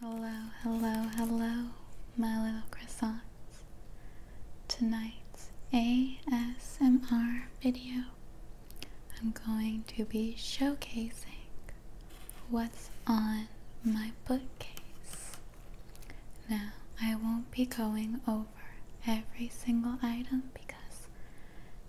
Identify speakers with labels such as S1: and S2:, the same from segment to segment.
S1: Hello, hello, hello, my little croissants. Tonight's ASMR video, I'm going to be showcasing what's on my bookcase. Now, I won't be going over every single item because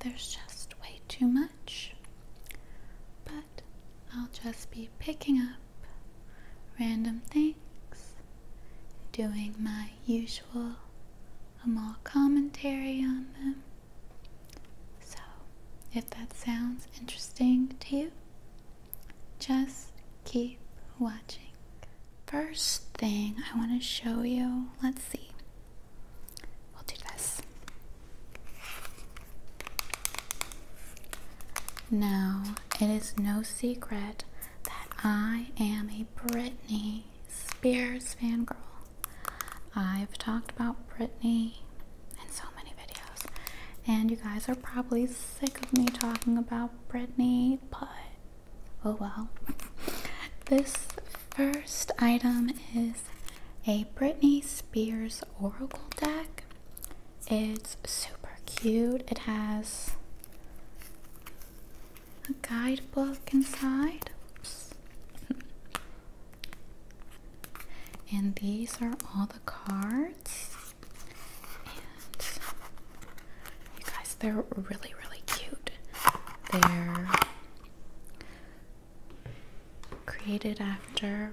S1: there's just way too much but I'll just be picking up random things, doing my usual Amal commentary on them. So, if that sounds interesting to you, just keep watching. First thing I want to show you, let's see. We'll do this. Now, it is no secret that I am a Britney Spears fangirl. I've talked about Britney in so many videos, and you guys are probably sick of me talking about Britney, but oh well. this first item is a Britney Spears Oracle deck. It's super cute. It has a guidebook inside. and these are all the cards. And you guys, they're really, really cute. They're created after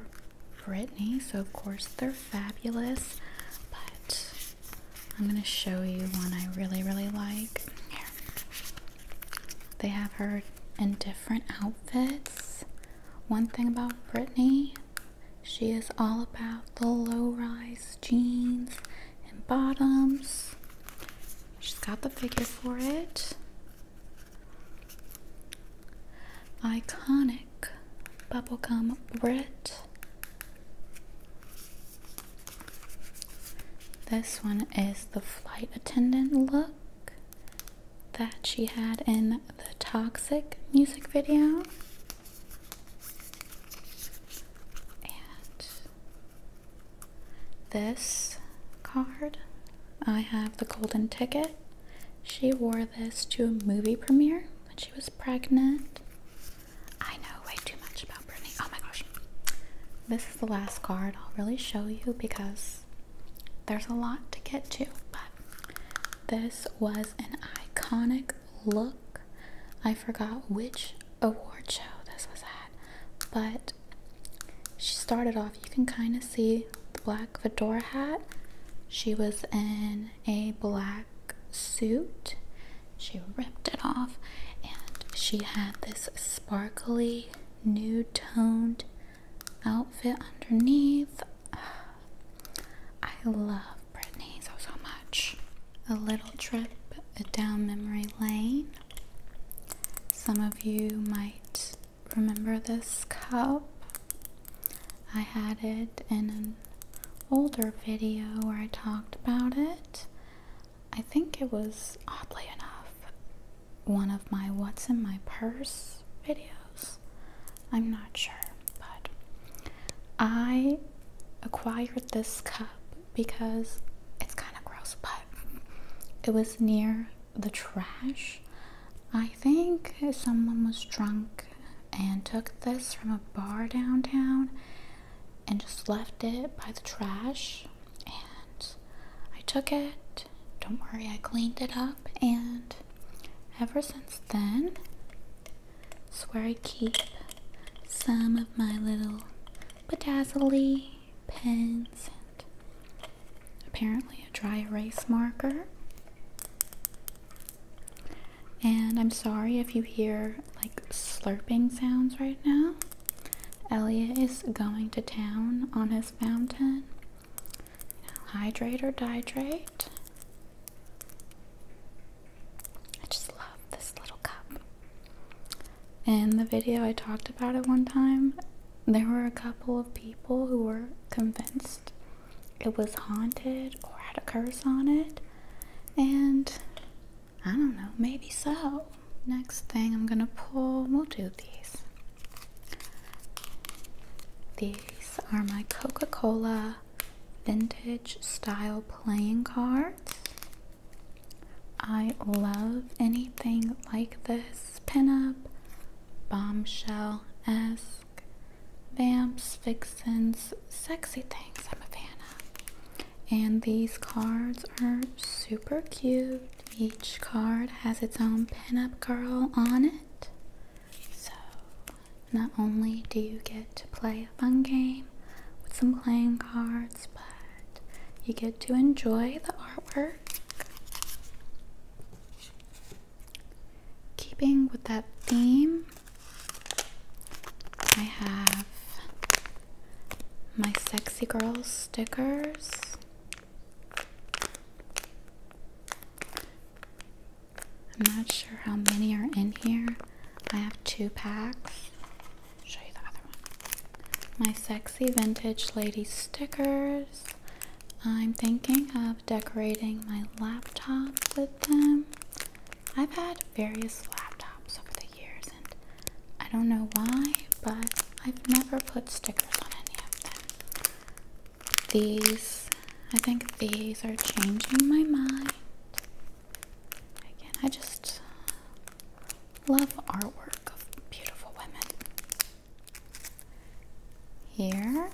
S1: Britney, so of course they're fabulous. But I'm gonna show you one I really, really like. They have her in different outfits. One thing about Britney, she is all about the low-rise jeans and bottoms. She's got the figure for it. Iconic bubblegum Brit. This one is the flight attendant look that she had in the Toxic music video. And this card I have the golden ticket. She wore this to a movie premiere when she was pregnant. I know way too much about Britney. Oh my gosh. This is the last card I'll really show you because there's a lot to get to. But this was an iconic look. I forgot which award show this was at, but she started off you can kind of see the black fedora hat she was in a black suit she ripped it off and she had this sparkly nude toned outfit underneath i love britney so so much a little trip down memory lane some of you might remember this cup? I had it in an older video where I talked about it. I think it was, oddly enough, one of my What's in My Purse videos. I'm not sure, but I acquired this cup because it's kind of gross, but it was near the trash. I think someone was drunk and took this from a bar downtown and just left it by the trash. And I took it. Don't worry, I cleaned it up. And ever since then, it's where I keep some of my little bedazzly pens, apparently a dry erase marker. And I'm sorry if you hear like slurping sounds right now. Elliot is going to town on his fountain. hydrate or dihydrate. I just love this little cup. In the video I talked about it one time, there were a couple of people who were convinced it was haunted or had a curse on it, and I don't know, maybe so. Next thing I'm gonna pull, we'll do these. These are my Coca Cola vintage style playing cards. I love anything like this pinup, bombshell esque, vamps, fixins, sexy things. I'm a fan of. And these cards are super cute. Each card has its own pinup girl on it. So, not only do you get to play a fun game with some playing cards, but you get to enjoy the artwork Keeping with that theme, I have my sexy girl stickers. I'm not sure how many are in here. I have two packs show you the other one. My sexy vintage lady stickers. I'm thinking of decorating my laptop with them. I've had various laptops over the years and I don't know why, but I've never put stickers on any of them. These, I think these are changing my mind. Again, I just Love artwork of beautiful women. Here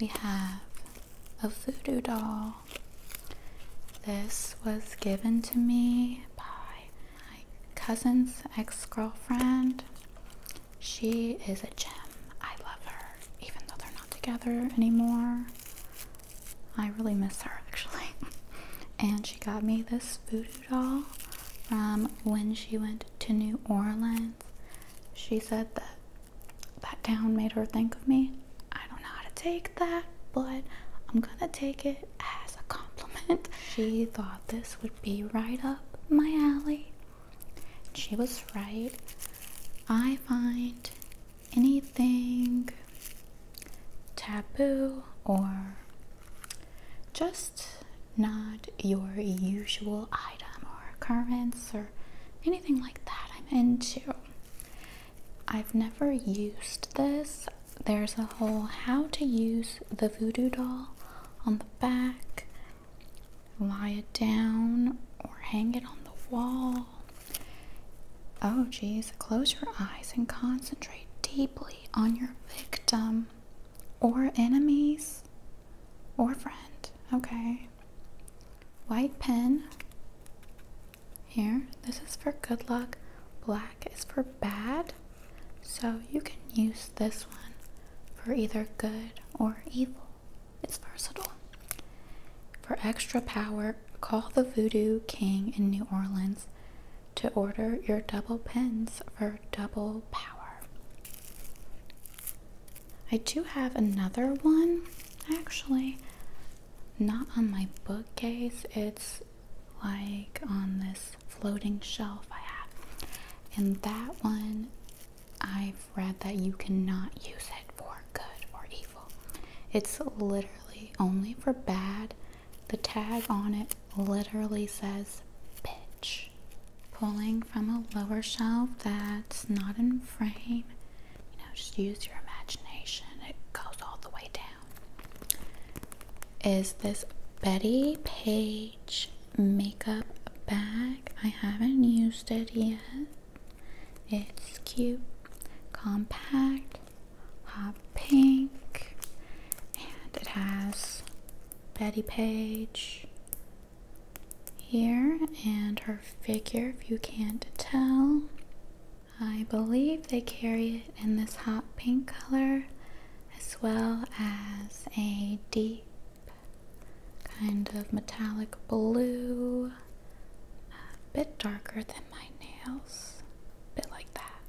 S1: we have a voodoo doll. This was given to me by my cousin's ex girlfriend. She is a gem. I love her, even though they're not together anymore. I really miss her actually. and she got me this voodoo doll from when she went to New Orleans. She said that that town made her think of me. I don't know how to take that, but I'm gonna take it as a compliment. She thought this would be right up my alley. She was right. I find anything taboo or just not your usual item or occurrence or anything like that I'm into. I've never used this. There's a whole how to use the voodoo doll on the back, lie it down or hang it on the wall. Oh, jeez, close your eyes and concentrate deeply on your victim or enemies or friend. Okay. White pen here. This is for good luck. Black is for bad. So you can use this one for either good or evil. It's versatile. For extra power, call the Voodoo King in New Orleans to order your double pens for double power. I do have another one actually, not on my bookcase, it's like on this floating shelf I have. And that one, I've read that you cannot use it for good or evil. It's literally only for bad the tag on it literally says bitch. Pulling from a lower shelf that's not in frame, you know, just use your imagination, it goes all the way down. Is this Betty Page makeup bag? I haven't used it yet. It's cute, compact, uh, pink, and it has Betty Page here and her figure, if you can't tell. I believe they carry it in this hot pink color as well as a deep kind of metallic blue, a bit darker than my nails, bit like that.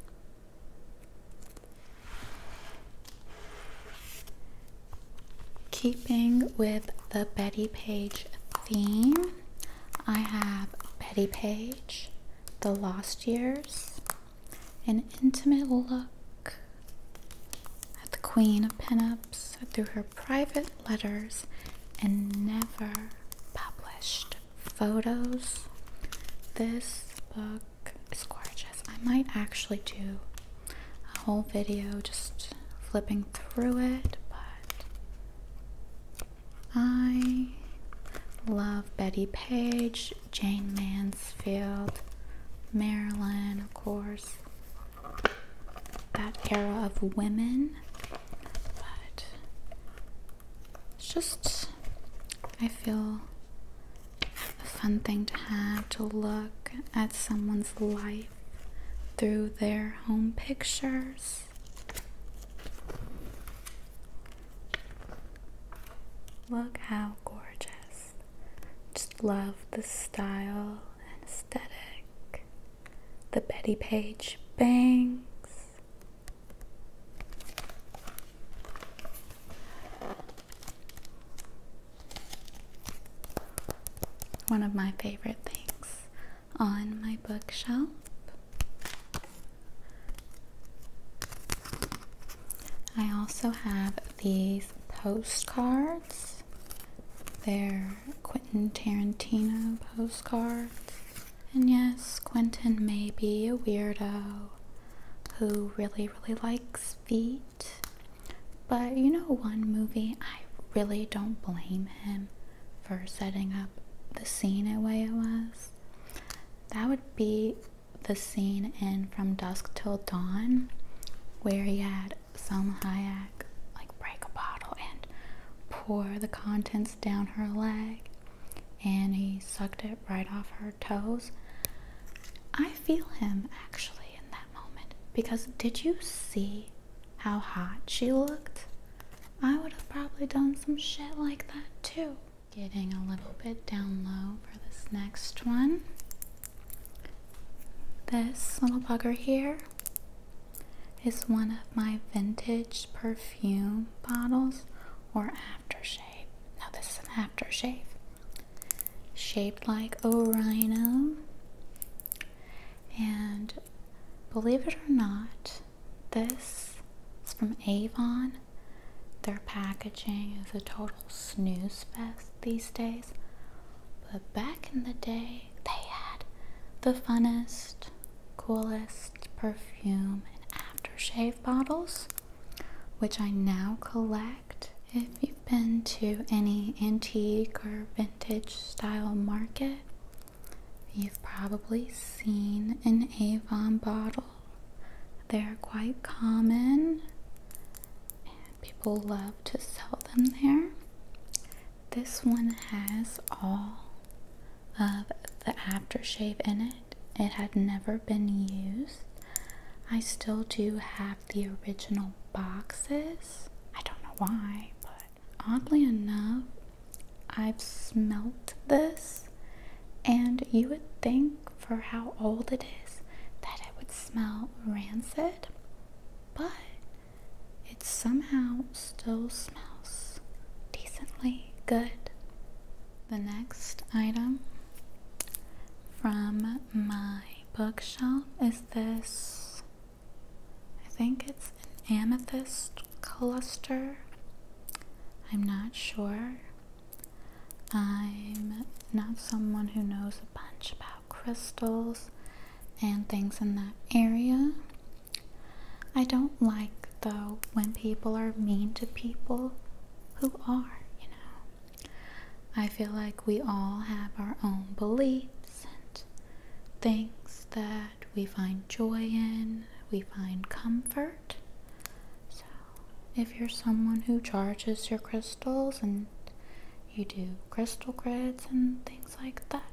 S1: Keeping with the Betty Page theme, I have Betty Page, The Lost Years, an intimate look at the Queen of Pinups through her private letters and never published photos. This book is gorgeous. I might actually do a whole video just flipping through it, but I love Betty Page, Jane Mansfield, Marilyn, of course. That era of women but it's just, I feel, a fun thing to have to look at someone's life through their home pictures. Look how gorgeous. Just love the style and aesthetic the Betty Page bangs. One of my favorite things on my bookshelf. I also have these postcards. They're Quentin Tarantino postcards. And yes, Quentin may be a weirdo who really, really likes feet. But you know, one movie, I really don't blame him for setting up the scene in way it was. That would be the scene in From Dusk Till Dawn where he had Selma Hayek like break a bottle and pour the contents down her leg and he sucked it right off her toes. I feel him actually in that moment because did you see how hot she looked? I would have probably done some shit like that too. Getting a little bit down low for this next one. This little bugger here is one of my vintage perfume bottles or aftershave. Now, this is an aftershave shaped like a rhino, And believe it or not, this is from Avon. Their packaging is a total snooze fest these days. But back in the day, they had the funnest, coolest perfume and aftershave bottles, which I now collect. If you've been to any antique or vintage style market, you've probably seen an Avon bottle. They're quite common, and people love to sell them there. This one has all of the aftershave in it. It had never been used. I still do have the original boxes. I don't know why, but oddly enough, I've smelt this, and you would think for how old it is that it would smell rancid, but it somehow still smells decently good. The next item from my bookshelf is this I think it's an amethyst cluster. I'm not sure. I'm not someone who knows a bunch about crystals and things in that area. I don't like though when people are mean to people who are, you know. I feel like we all have our own beliefs and things that we find joy in, we find comfort. So, if you're someone who charges your crystals and you do crystal grids and things like that.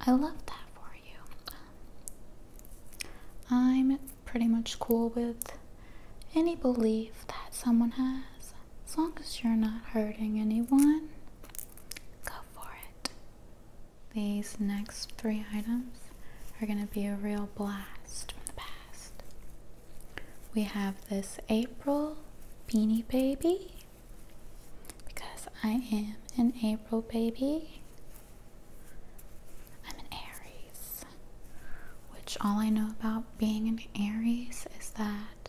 S1: I love that for you. I'm pretty much cool with any belief that someone has. As long as you're not hurting anyone, go for it. These next three items are going to be a real blast from the past. We have this April Beanie Baby because I am an April baby. I'm an Aries, which all I know about being an Aries is that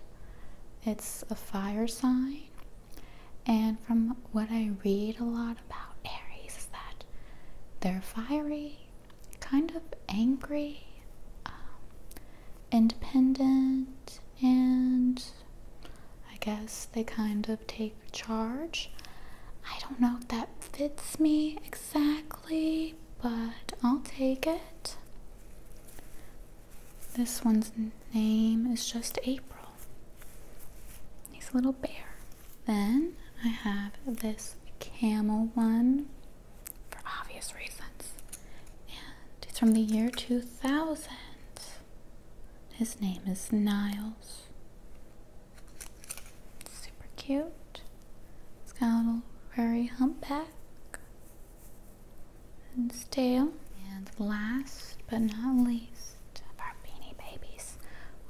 S1: it's a fire sign. And from what I read a lot about Aries is that they're fiery, kind of angry, um, independent and I guess they kind of take charge. I don't know if that fits me exactly, but I'll take it. This one's name is just April. He's a little bear. Then I have this camel one for obvious reasons. And it's from the year 2000. His name is Niles. Super cute. he has got a little furry humpback and his tail. And last but not least of our beanie babies,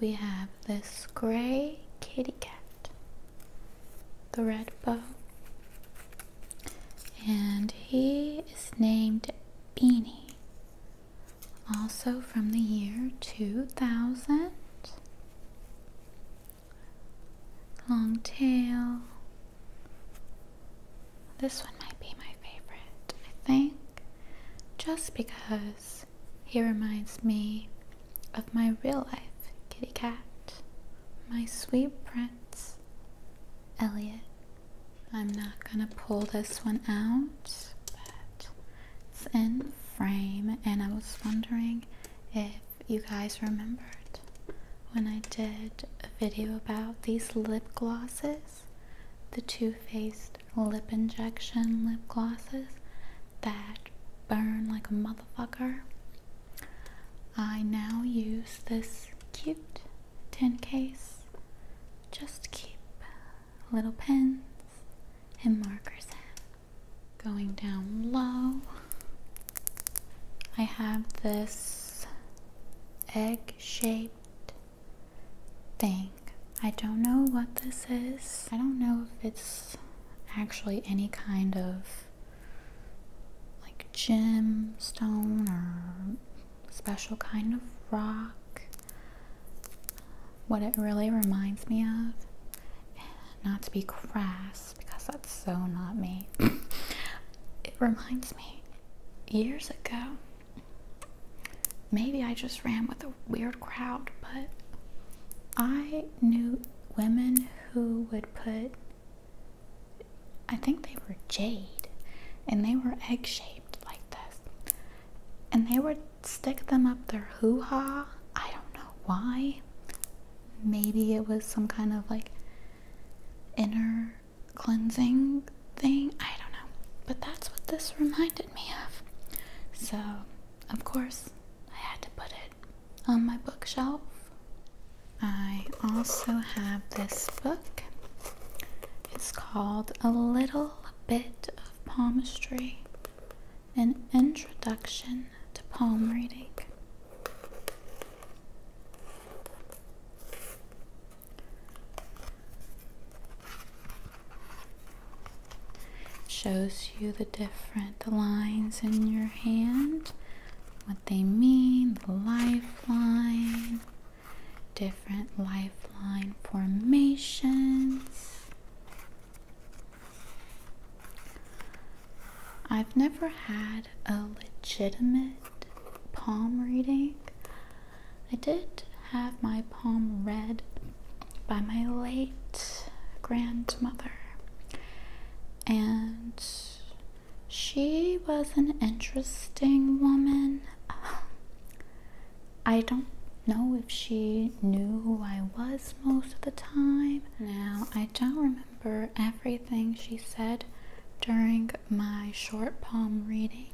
S1: we have this gray kitty cat. The red bow and he is named Beanie, also from the year 2000. Long tail. This one might be my favorite, I think, just because he reminds me of my real life kitty cat, my sweet friend. Lawrence, Elliot. I'm not gonna pull this one out, but it's in frame, and I was wondering if you guys remembered when I did a video about these lip glosses, the Too Faced lip injection lip glosses that burn like a motherfucker. I now use this cute tin case just to keep little pens and markers Going down low, I have this egg shaped thing. I don't know what this is. I don't know if it's actually any kind of like gemstone or special kind of rock. What it really reminds me of, not to be crass because that's so not me, it reminds me years ago. Maybe I just ran with a weird crowd, but I knew women who would put I think they were jade and they were egg shaped like this. And they would stick them up their hoo ha. I don't know why. Maybe it was some kind of like inner cleansing thing. I don't know. But that's what this reminded me of. So, of course, I had to put it on my bookshelf. I also have this book. It's called A Little Bit of Palmistry An Introduction to Palm Reading. shows you the different lines in your hand what they mean, the lifeline, different lifeline formations. I've never had a legitimate palm reading. I did have my palm read by my late grandmother, and she was an interesting woman. I don't know if she knew who I was most of the time. Now, I don't remember everything she said during my short palm reading,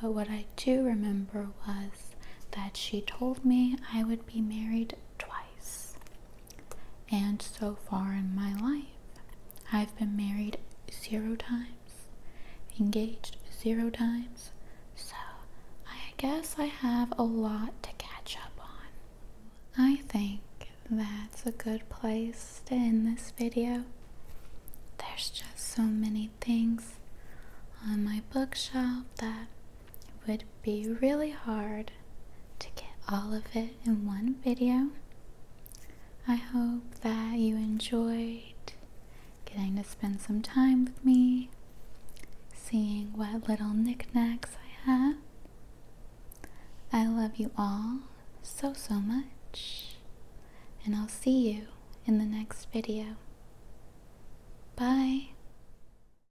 S1: but what I do remember was that she told me I would be married twice. And so far in my life, I've been married zero times, engaged zero times, so I guess I have a lot to catch up on. I think that's a good place to end this video. There's just so many things on my bookshelf that it would be really hard to get all of it in one video. I hope that you enjoyed getting to spend some time with me, seeing what little knickknacks I have. I love you all so, so much, and I'll see you in the next video. Bye.